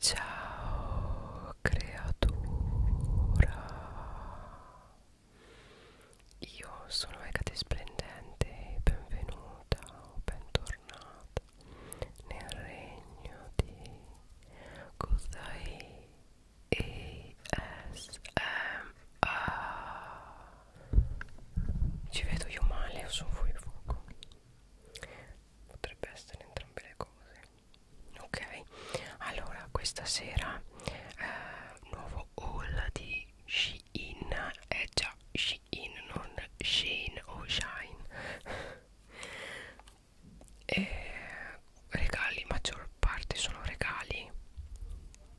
Ciao creatura, io sono Megate Splendente e benvenuta o bentornata nel regno di Kuzai ESMA. Ci vedo io male o sono fuori fuoco? potrebbe essere entrambe le cose ok allora questa sera eh, nuovo haul di Shein è eh, già Shein non Shein o Shine e regali maggior parte sono regali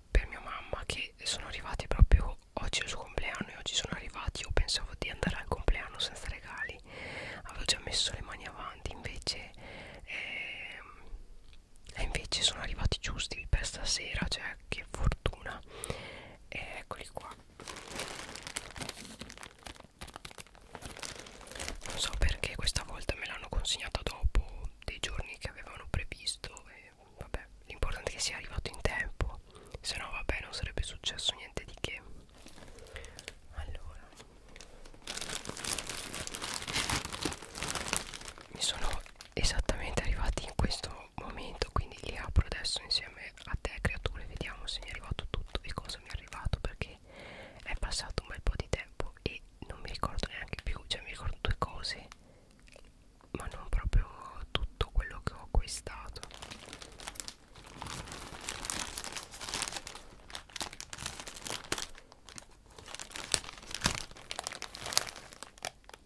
per mia mamma che sono arrivati proprio oggi è il suo compleanno e oggi sono arrivati io pensavo di andare al compleanno senza regali avevo già messo le mani avanti invece eh, invece sono arrivati giusti per stasera cioè che fortuna eh, eccoli qua non so perché questa volta me l'hanno consegnata dopo dei giorni che avevano previsto e vabbè l'importante è che sia arrivato in tempo se no vabbè non sarebbe successo niente di che allora mi sono esattamente arrivati in questo momento quindi li apro adesso insieme a te creature vediamo se mi è arrivato tutto e cosa mi è arrivato perché è passato un bel po' di tempo e non mi ricordo neanche più cioè mi ricordo due cose ma non proprio tutto quello che ho acquistato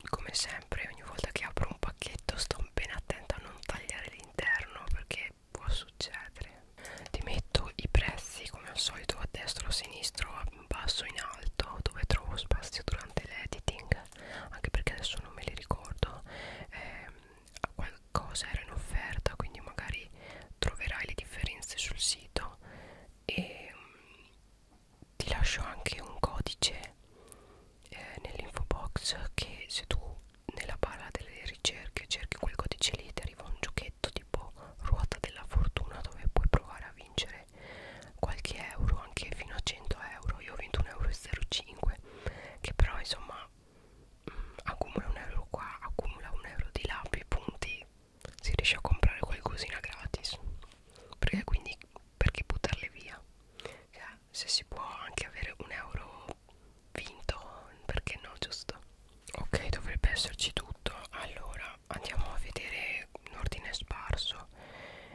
come sempre ogni volta che apro un pacchetto sto ben attenta a non tagliare l'interno perché può succedere. Ti metto i prezzi come al solito a destra o a sinistro, a basso in alto dove trovo spazio durante l'editing, anche perché adesso non me li ricordo. Eh, cosa era in offerta quindi magari troverai le differenze sul sito e mm, ti lascio anche un codice eh, nell'info box che se tu nella barra delle ricerche cerchi quel codice lì ti arriva un giochetto tipo ruota della fortuna dove puoi provare a vincere qualche euro anche fino a 100 euro io ho vinto 1,05 euro che però insomma accumula un euro qua, accumula un euro di là, più punti si riesce a comprare qualcosina gratis perché quindi perché buttarle via cioè, se si può anche avere un euro vinto perché no giusto ok dovrebbe esserci tutto allora andiamo a vedere l'ordine sparso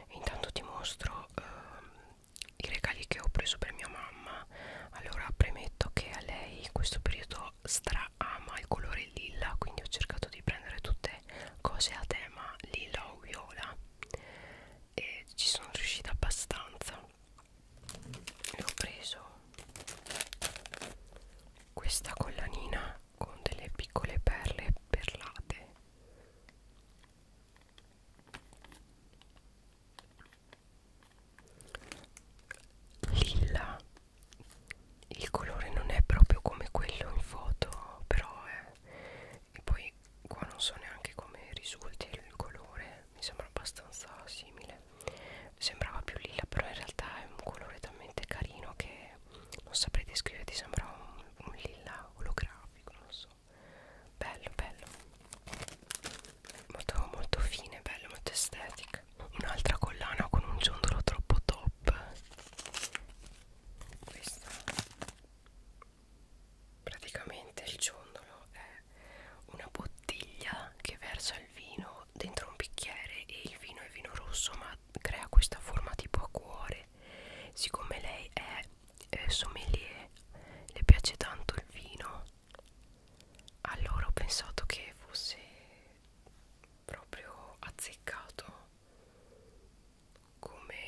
intanto ti mostro ehm, i regali che ho preso per mia mamma allora premetto che a lei in questo periodo stra ama il colore lilla quindi ho cercato di prendere tutte cose a tema lilla o viola e ci sono riuscita abbastanza e ho preso questa collanina con delle piccole perle perlate lilla il colore non è proprio come quello in foto però è e poi qua non so neanche come risulti il colore mi sembra abbastanza simile sembrava più lilla però in realtà è un colore talmente carino che non saprei descriverti sembra un, un lilla olografico non so bello bello molto molto fine bello molto estetica un'altra collana con un ciondolo troppo top questa praticamente il ciondolo è una bottiglia che versa il vino dentro un bicchiere e il vino è vino rosso ma crea questa forma tipo a cuore siccome lei è eh, sommelier le piace tanto il vino allora ho pensato che fosse proprio azzeccato come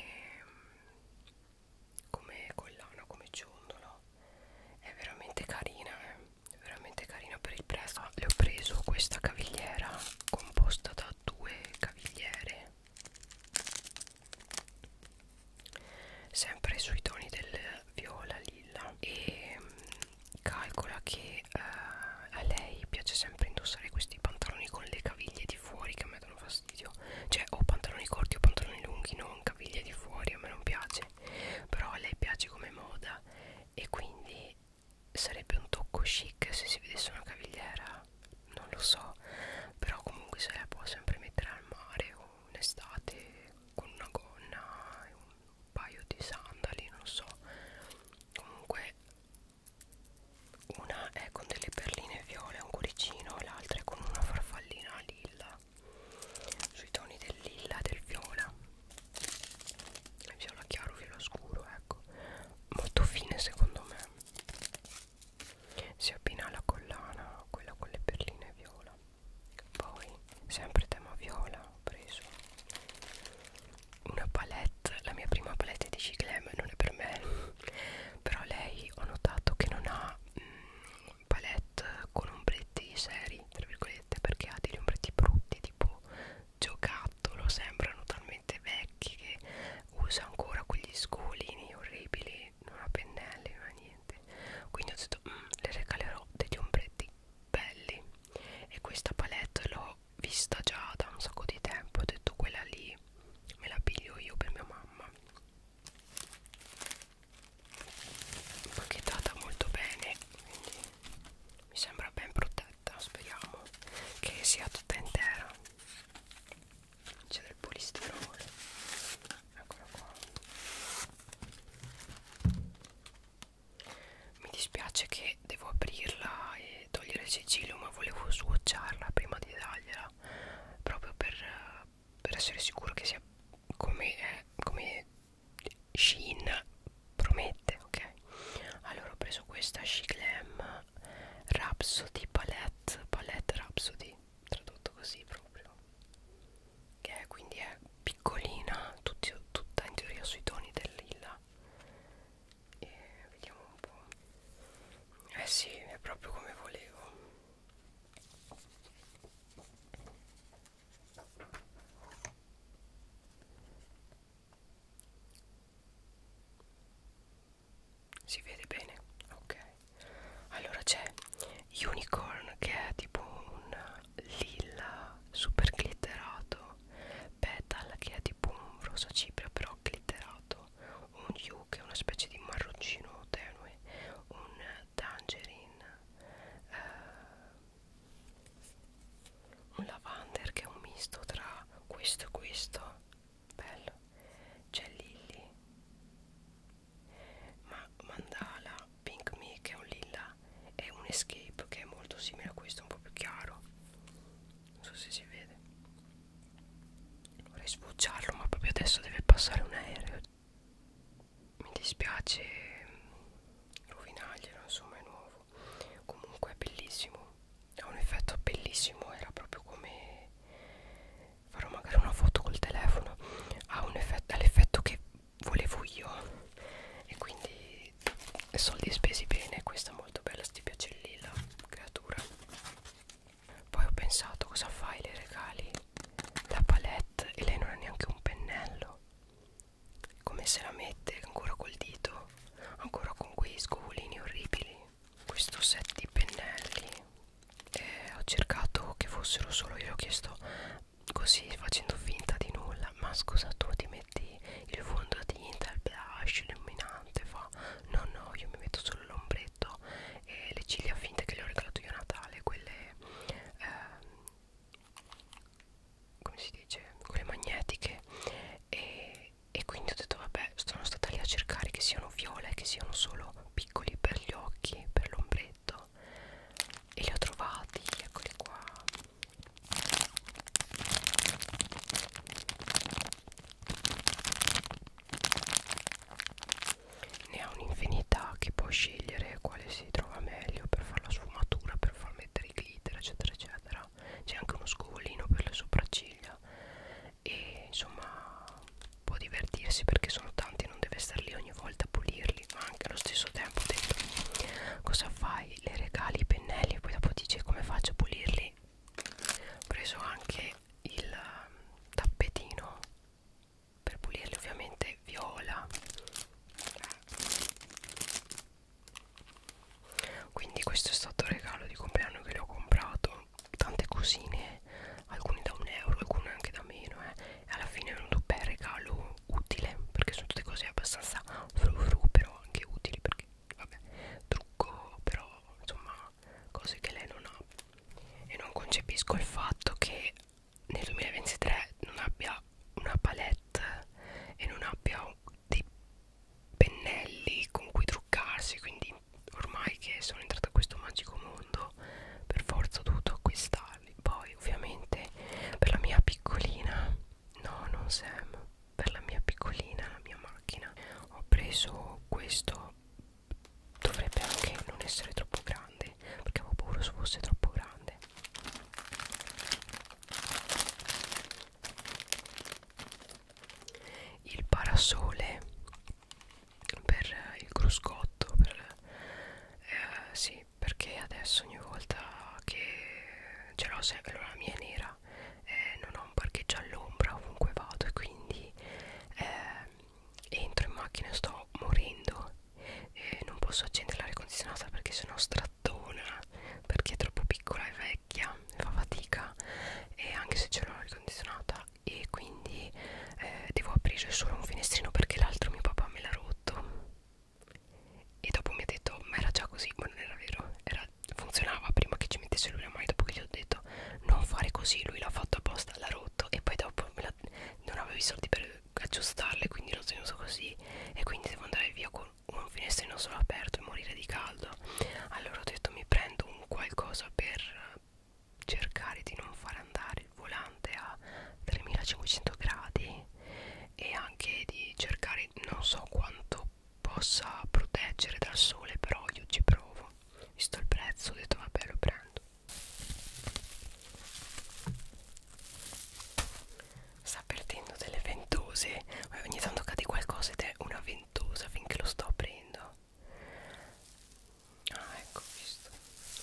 come collana come ciondolo è veramente carina eh? è veramente carina per il prezzo le ho preso questa cavigliera composta da due cavigliere sempre sui toni del viola lilla e mm, calcola che uh, a lei piace sempre indossare questi pantaloni con le caviglie di fuori che a me danno fastidio cioè o pantaloni corti o pantaloni lunghi non caviglie di fuori a me non piace però a lei piace come moda e quindi sarebbe un tocco chic se si vedesse una cavigliera non lo so però comunque se la può sempre mettere al mare o in estate con una gonna e un paio di sandali non so comunque una è con delle perline viole un cuoricino e l'altra è con una farfallina lilla sui toni del lilla e del viola viola chiaro viola scuro ecco molto fine secondo me si abbina alla collana quella con le perline viola poi sempre tema viola ho preso una palette la mia prima palette di Ciclem non è per me però lei ho notato che non ha mh, mm, palette con ombretti seri tra virgolette perché ha degli ombretti brutti tipo giocattolo sembrano talmente vecchi che usa ancora quegli scolini orribili non ha pennelli non ha niente niente quindi ho detto mm, le regalerò degli ombretti belli e questa palette l'ho vista già da un sacco di tempo ho detto quella lì me la piglio io per mia mamma pacchettata molto bene quindi mi sembra ben protetta speriamo che sia tutta intera c'è del polistirolo eccolo qua mi dispiace che devo aprirla e togliere il sigillo ma volevo swatcharla prima di dargliela proprio per, per essere sicuro che sia come, eh, come Shin promette ok allora ho preso questa She Glam Rhapsody Palette Palette Rhapsody tradotto così proprio che è, quindi è piccolina tutti, tutta in teoria sui toni del lilla e vediamo un po' eh sì è proprio come volevo si vede bene ok allora c'è unicorn che è tipo un lilla super glitterato petal che è tipo un rosa cipria però glitterato un hue che è una specie di marroncino tenue un tangerine eh, un lavander che è un misto tra questo e questo bello c'è lilly ma mandala pink me che è un lilla è un escape che è molto simile a questo un po' più chiaro non so se si vede vorrei sbucciarlo ma proprio adesso deve passare un aereo mi dispiace mm, rovinaglielo insomma è nuovo comunque è bellissimo ha un effetto bellissimo era proprio come farò magari una foto col telefono ha un effetto l'effetto che volevo io e quindi soldi spesi bene questa è molto bella sti piace lì la creatura poi ho pensato cosa fai le regali la palette e lei non ha neanche un pennello come se la mette ancora col dito ancora con quei scovolini orribili questo set di pennelli eh, ho cercato che fossero solo io l'ho chiesto così facendo finta di nulla ma scusa tu ti metti il fondotinta il blush illuminante fa no no io mi metto solo l'ombretto e le ciglia finte che le ho regalato io a Natale quelle ehm, come si dice quelle magnetiche e, e quindi ho detto vabbè sono stata lì a cercare che siano viole che siano solo piccoli per gli occhi per l'ombretto letto e li ho trovati, eccoli qua ne ha un'infinità che può scegliere quale si trova meglio per fare la sfumatura, per far mettere i glitter eccetera eccetera c'è anche uno scovolino per le sopracciglia e insomma può divertirsi perché sono tanti non deve stare lì ogni volta a pulirli ma anche allo stesso tempo detto, cosa fai le regali i pennelli e poi dopo dici come faccio a pulirli ho preso anche il um, tappetino per pulirli ovviamente viola quindi questo è stato il regalo di compleanno che le ho comprato tante cosine alcuni da un euro alcuni anche da meno eh. e alla fine è venuto un bel regalo utile perché sono tutte cose abbastanza fru fru però anche utili perché vabbè trucco però insomma cose che lei non ha e non concepisco il fatto che nel 2023 non abbia una palette e non abbia dei pennelli con cui truccarsi quindi ormai che sono entrata in questo magico mondo però per forza ho dovuto acquistarli poi ovviamente per la mia piccolina no non Sam per la mia piccolina la mia macchina ho preso questo dovrebbe anche non essere troppo grande perché avevo paura se fosse troppo grande il parasole per il cruscotto per, eh, sì perché adesso ogni volta che ce l'ho sempre la mia è nera eh, non ho un parcheggio all'ombra ovunque vado e quindi eh, entro in macchina e sto morendo eh, non posso accendere l'aria condizionata perché sennò strattona perché è troppo piccola e vecchia fa fatica e anche se ce l'ho l'aria condizionata e quindi eh, devo aprire solo un finestrino perché l'altro mio papà me l'ha rotto e dopo mi ha detto ma era già così ma non era vero era, funzionava prima che ci mettesse lui la mano dopo che gli ho detto non fare così lui l'ha fatto apposta l'ha rotto e poi dopo me la, non avevo i soldi per aggiustarle quindi l'ho tenuto così e quindi devo andare via con un finestrino solo aperto e morire di caldo allora ho detto mi prendo un qualcosa per cercare di non far andare il volante a 3500 gradi e anche di cercare non so quanto possa proteggere dal sole però io ci provo visto il prezzo ho detto vabbè lo prendo sta perdendo delle ventose ogni tanto cade qualcosa ed è una ventosa finché lo sto aprendo ah ecco visto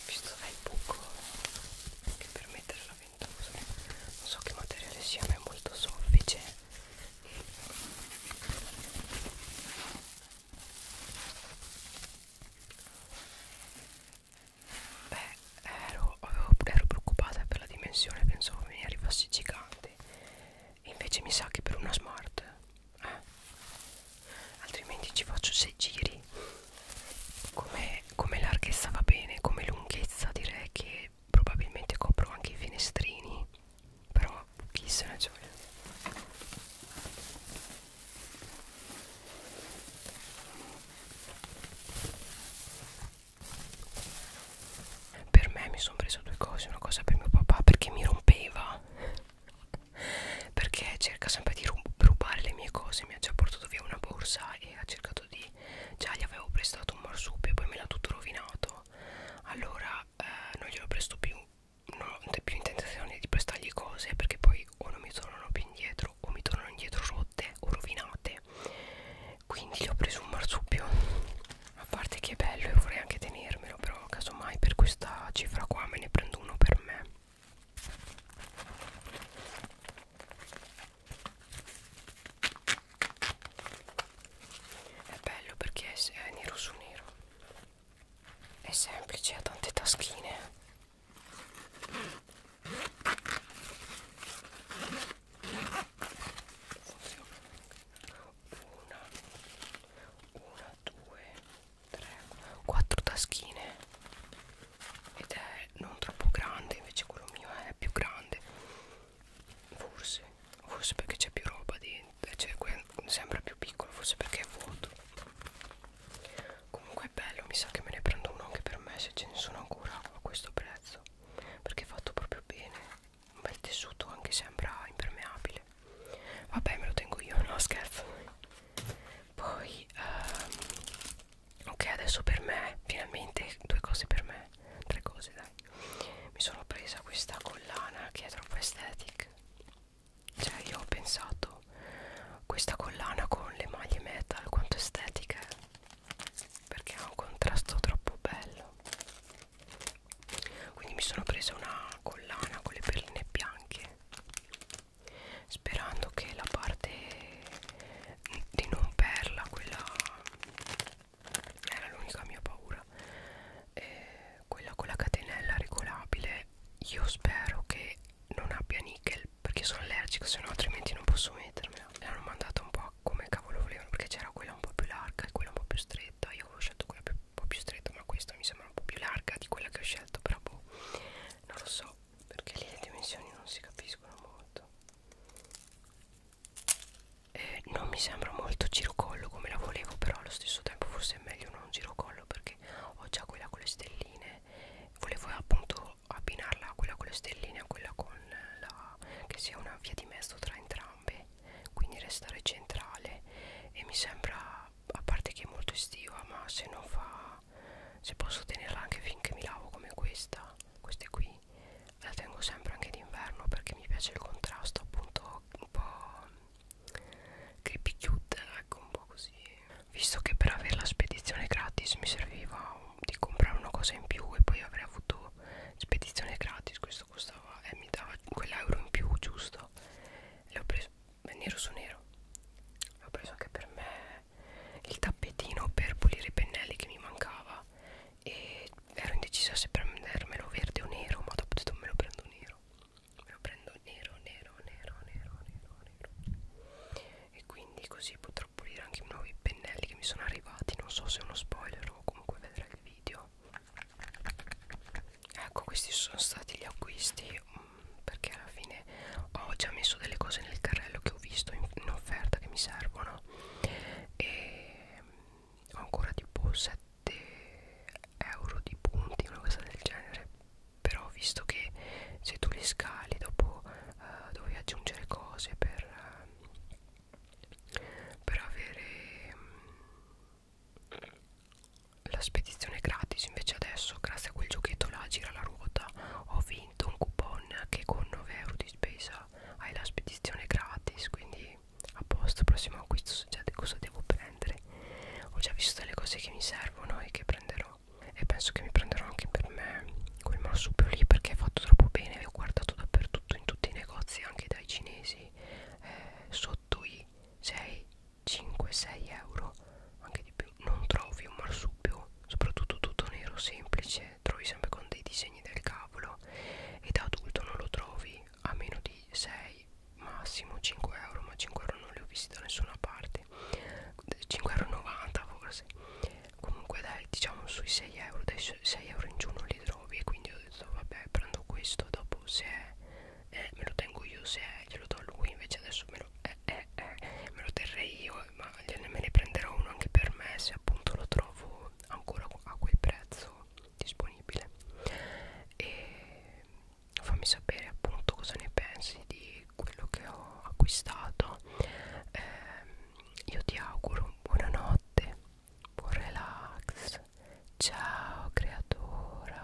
visto dai buco anche per mettere la ventosa non so che materiale sia ma è molto soffice beh ero, avevo, ero preoccupata per la dimensione pensavo mi arrivassi gigante invece mi sa che per una smart eh. altrimenti ci faccio 6 giri come, come larghezza va bene come lunghezza direi che probabilmente copro anche i finestrini però chi se ne gioia per me mi sono preso due cose una cosa per mio papà perché mi rompeva perché cerca sempre di rubare le mie cose mi ha già portato via una borsa e ha cercato di già gli avevo prestato un marsupio poi me l'ha tutto rovinato allora eh, non glielo presto più non ho più intentazione di prestargli cose perché poi o non mi tornano più indietro o mi tornano indietro rotte o rovinate quindi gli ho preso un marsupio a parte che è bello e vorrei anche tenermelo però casomai per questa cifra qua me ne prendo uno per me è bello perché è nero su nero. È semplice, ha tante taschine. Funziona. Una, una, due, 3, 4 taschine ed è non troppo grande invece quello mio è più grande forse forse perché c'è più roba dentro cioè sembra più piccolo forse perché è vuoto comunque è bello mi sa che me ne prendo uno anche per me se ce ne sono ancora a questo prezzo perché è fatto proprio bene un bel tessuto anche sembra impermeabile vabbè me lo tengo io no scherzo poi um, ok adesso per me finalmente due cose per me tre cose dai mi sono presa questa collana che è troppo aesthetic cioè io ho pensato questa collana con le maglie metal quanto estetica è perché ha un contrasto troppo bello quindi mi sono presa una collana con le perline bianche sperando che la parte di non perla quella era l'unica mia paura eh, quella con la catenella regolabile io spero che non abbia nickel perché sono allergico se no altrimenti non posso mettermela l'hanno mandata un po' a come cavolo volevano perché c'era quella un po' più larga e quella un po' più stretta io avevo scelto quella più, un po' più stretta ma questa mi sembra un po' più larga di quella che ho scelto però boh non lo so perché lì le dimensioni non si capiscono molto eh, non mi sembra molto girocollo come la volevo però allo stesso tempo forse è meglio non girocollo perché ho già quella con le stelline volevo appunto abbinarla a quella con le stelline a quella con la che sia una via di mezzo tra entrambe quindi restare centrale e mi sembra a parte che è molto estiva ma se non fa se posso tenerla anche finché mi lavo come questa queste qui la tengo sempre anche d'inverno perché mi piace il contrasto appunto un po' creepy cute ecco un po' così visto che per avere la spedizione gratis mi serviva di comprare una cosa in più e poi avrei avuto spedizione gratis questo costava e eh, mi dava quell'euro in più giusto l'ho preso nero su nero ho preso anche per me il tappetino per pulire i pennelli che mi mancava e ero indecisa se prendermelo verde o nero ma dopo ho detto me lo prendo nero me lo prendo nero nero nero nero nero nero e quindi così potrò pulire anche i nuovi pennelli che mi sono arrivati non so se è uno spoiler o comunque vedrai il video ecco questi sono stati gli acquisti perché alla fine ho già messo delle cose nel carrello che ho visto in, in offerta che mi servono e ho ancora tipo 7 euro di punti una cosa del genere però ho visto che se tu li scali dopo uh, dovevi aggiungere cose per uh, per avere um, la spedizione gratis invece adesso grazie a quel giochetto là gira la ruota ho vinto un coupon che con 9 euro di spesa hai la spedizione gratis quindi a posto prossimo acquisto so già cosa devo prendere ho già visto le cose che mi servono e che prenderò e penso che mi prenderò anche per me quel marsupio lì perché è fatto troppo bene ho guardato dappertutto in tutti i negozi anche dai cinesi eh, sotto i 6 5-6 euro anche di più non trovi un marsupio soprattutto tutto nero semplice trovi sempre con dei disegni del cavolo e da adulto non lo trovi a meno di 6 massimo 5 euro ma 5 euro non li ho visti da nessuna parte 5,90 euro forse comunque dai diciamo sui 6 euro dai 6 euro in giù non li trovi e quindi ho detto vabbè prendo questo dopo se è eh, me lo tengo io se glielo do a lui invece adesso me lo, eh, eh, eh, me lo terrei io ma me ne prenderò uno anche per me se appunto lo trovo ancora a quel prezzo disponibile e fammi sapere appunto cosa ne pensi di quello che ho acquistato eh, io ti auguro buonanotte buon relax ciao creatura